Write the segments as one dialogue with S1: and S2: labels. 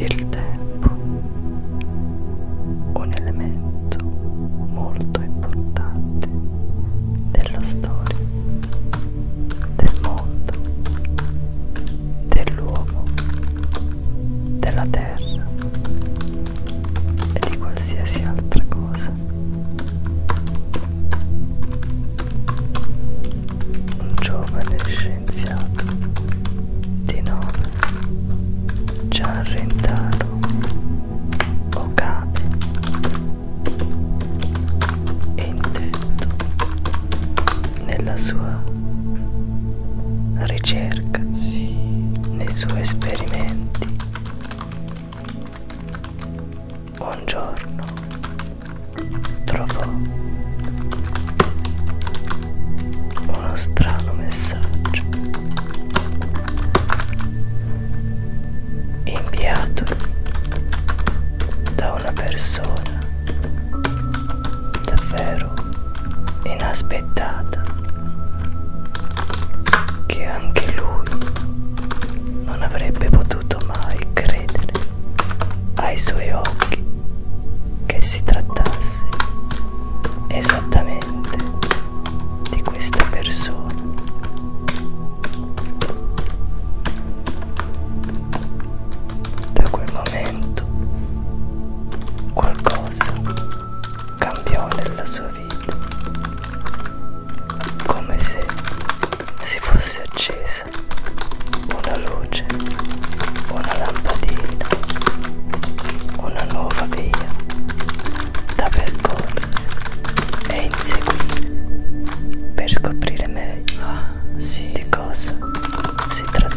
S1: Il tempo, un elemento molto importante della storia, del mondo, dell'uomo, della terra e di qualsiasi altra cosa un giovane scienziato di nome Gianrentano Okabe e intento nella sua ricerca, sì. nei suoi esperimenti un giorno trovò uno strano messaggio inviato da una persona davvero inaspettata che anche lui non avrebbe potuto mai credere ai suoi occhi che si trattasse esattamente di questa persona. Da quel momento qualcosa cambiò nella sua vita come se si fosse accesa una luce, una lampadina, una nuova via da percorrere e inseguire per scoprire meglio ah, sì. di cosa si trattasse.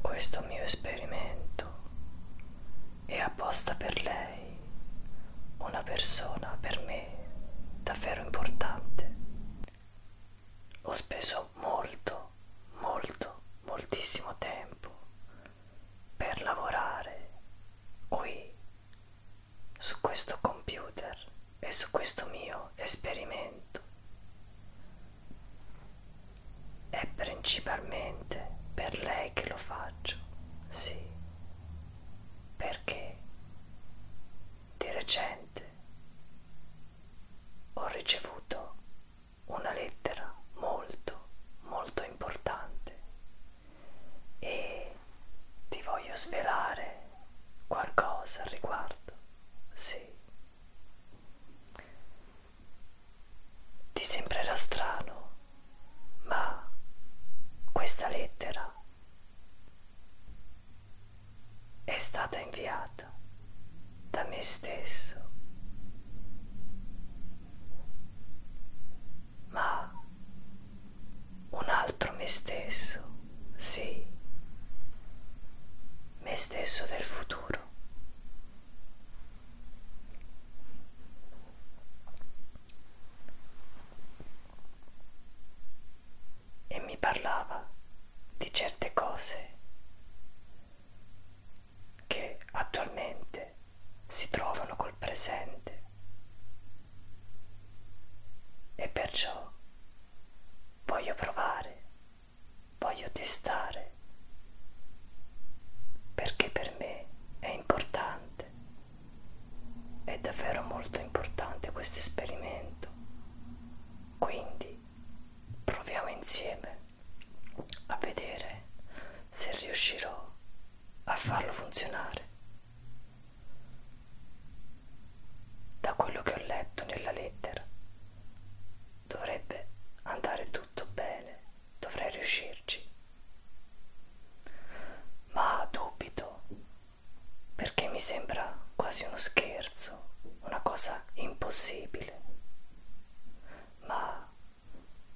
S1: Questo mio esperimento è apposta per lei, una persona per me davvero importante. Ho speso molto, molto, moltissimo tempo per lavorare qui su questo computer e su questo mio esperimento. È principalmente per lei che lo faccio, sì, perché di recente ho ricevuto una lettera molto, molto importante e ti voglio svelare qualcosa al riguardo, sì. Ti sembrerà strano, ma questa lettera è stata inviata da me stesso. Ma un altro me stesso, sì, me stesso del futuro dentro. E mi parlava di certe cose che attualmente si trovano col presente e perciò voglio provare voglio testare perché per me è importante, è davvero molto importante questo esperimento. Quindi proviamo insieme a vedere se riuscirò a farlo funzionare. Da quello che ho letto nella lettera Dovrebbe andare tutto bene, dovrei riuscirci. Ma dubito, perché mi sembra quasi uno scherzo, una cosa impossibile. Ma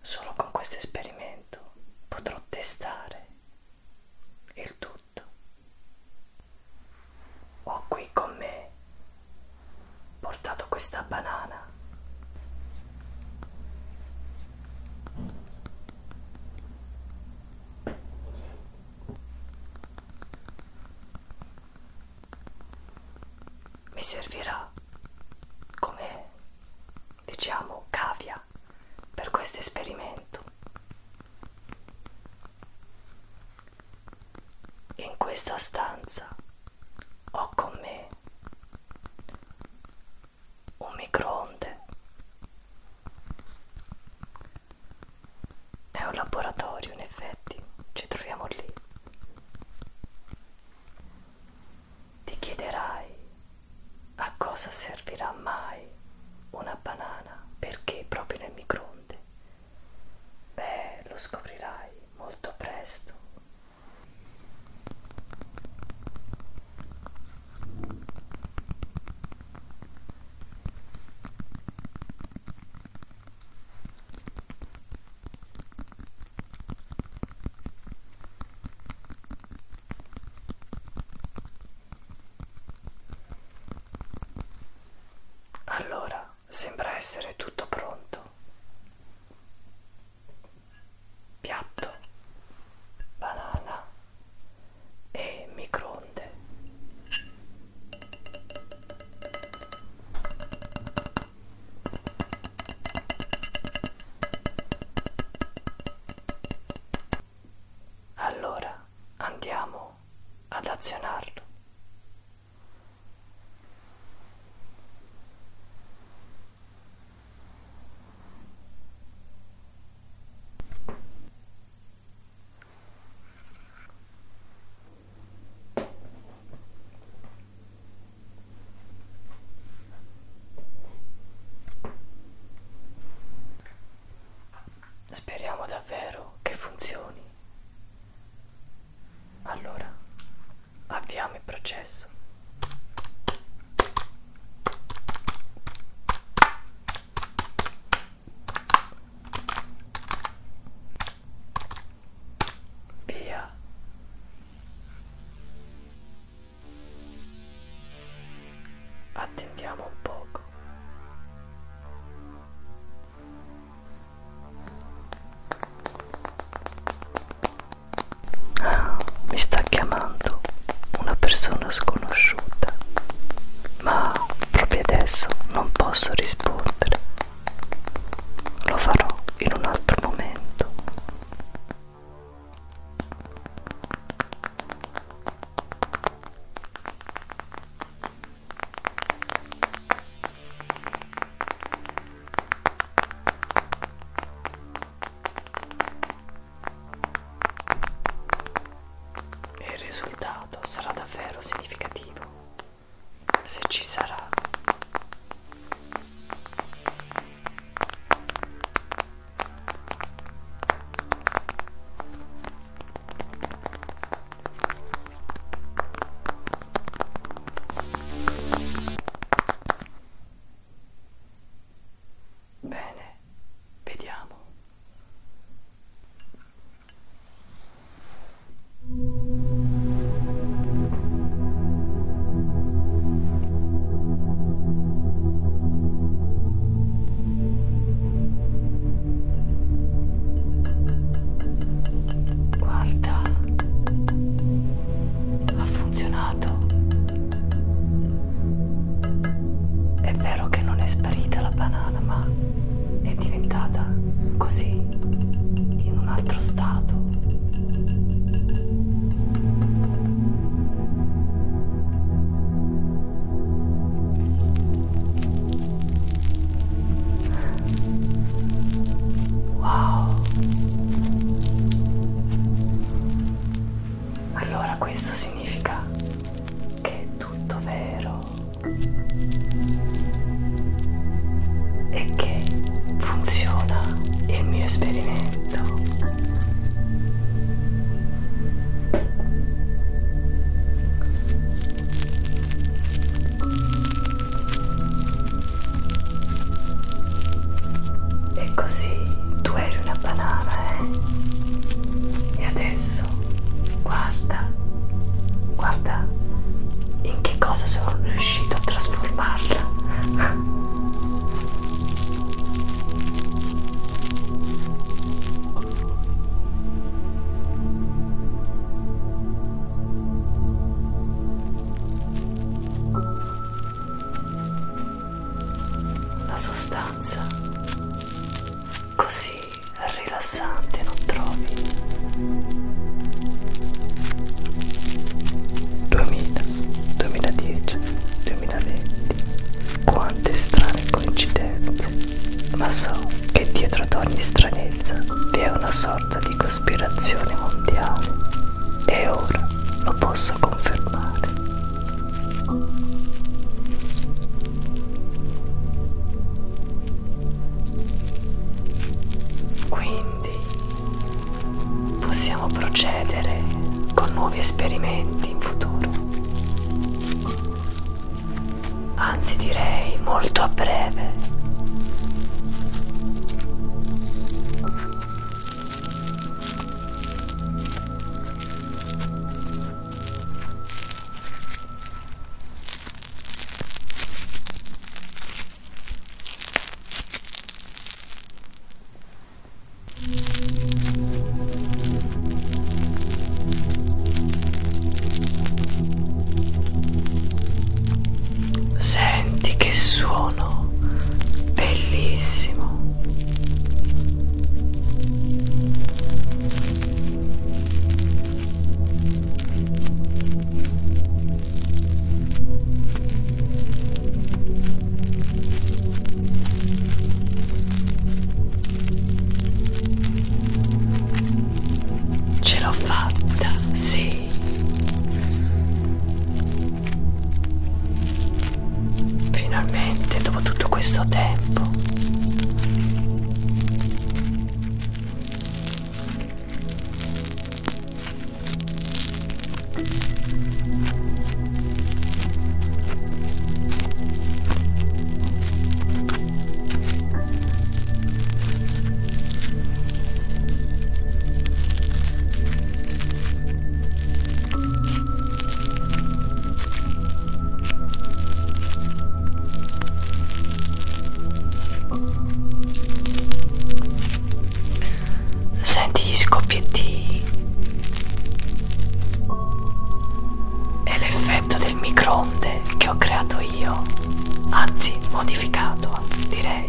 S1: solo con questo esperimento potrò testare il tutto ho qui con me portato questa banana mi servirà come diciamo cavia per questo esperimento in questa stanza ho con me un microonde è un laboratorio in effetti ci troviamo lì ti chiederai a cosa servirà mai una banana perché proprio nel microonde Beh, lo scoprirai molto presto. Allora, sembra essere tutto pronto. Piatto, banana e microonde. Allora andiamo ad azionarlo. Speriamo davvero che funzioni. Allora, avviamo il processo. Via. Attendiamo un poco. Ah, mi sta chiamando una persona sconosciuta, ma proprio adesso non posso rispondere. Lo farò in un altro momento. Il risultato sarà davvero significativo se ci sarà. Bene, vediamo. Guarda, ha funzionato. È vero che non è sparita la banana, ma è diventata così, in un altro stato. Wow. Allora questo significa che è tutto vero e che funziona il mio esperimento. E così tu eri una banana, eh? E adesso guarda, guarda in che cosa sono riuscito a trasformarla. La sostanza così rilassante non trovi. 2000, 2010, 2020. Quante strane coincidenze. Ma so che dietro ad ogni stranezza vi è una sorta di di cospirazioni mondiali e ora lo posso confermare. Quindi possiamo procedere con nuovi esperimenti in futuro anzi direi molto a breve. Senti che suono bellissimo. Ce l'ho fatta, sì. Finalmente, dopo tutto questo tempo. Senti gli scoppietti e l'effetto del microonde che ho creato io anzi modificato direi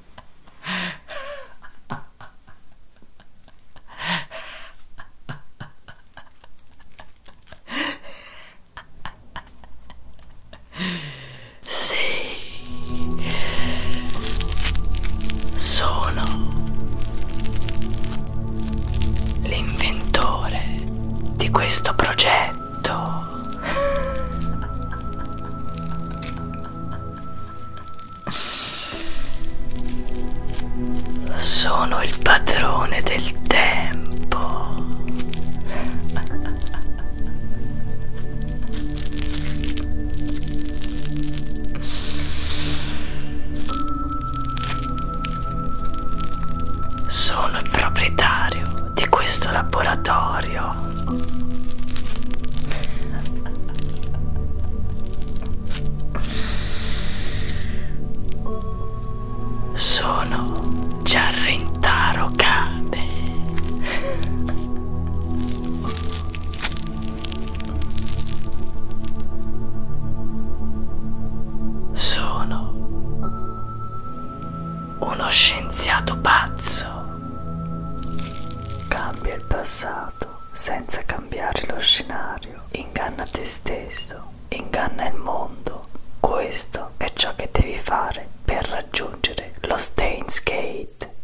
S1: Sì, sono l'inventore di questo progetto perfetto sono il padrone del tempo sono il proprietario di questo laboratorio sono Giarrintaro Cade. Sono uno scienziato pazzo. Cambia il passato senza cambiare lo scenario. Inganna te stesso, inganna il mondo. Questo è ciò che devi fare per raggiungere lo Stains Gate.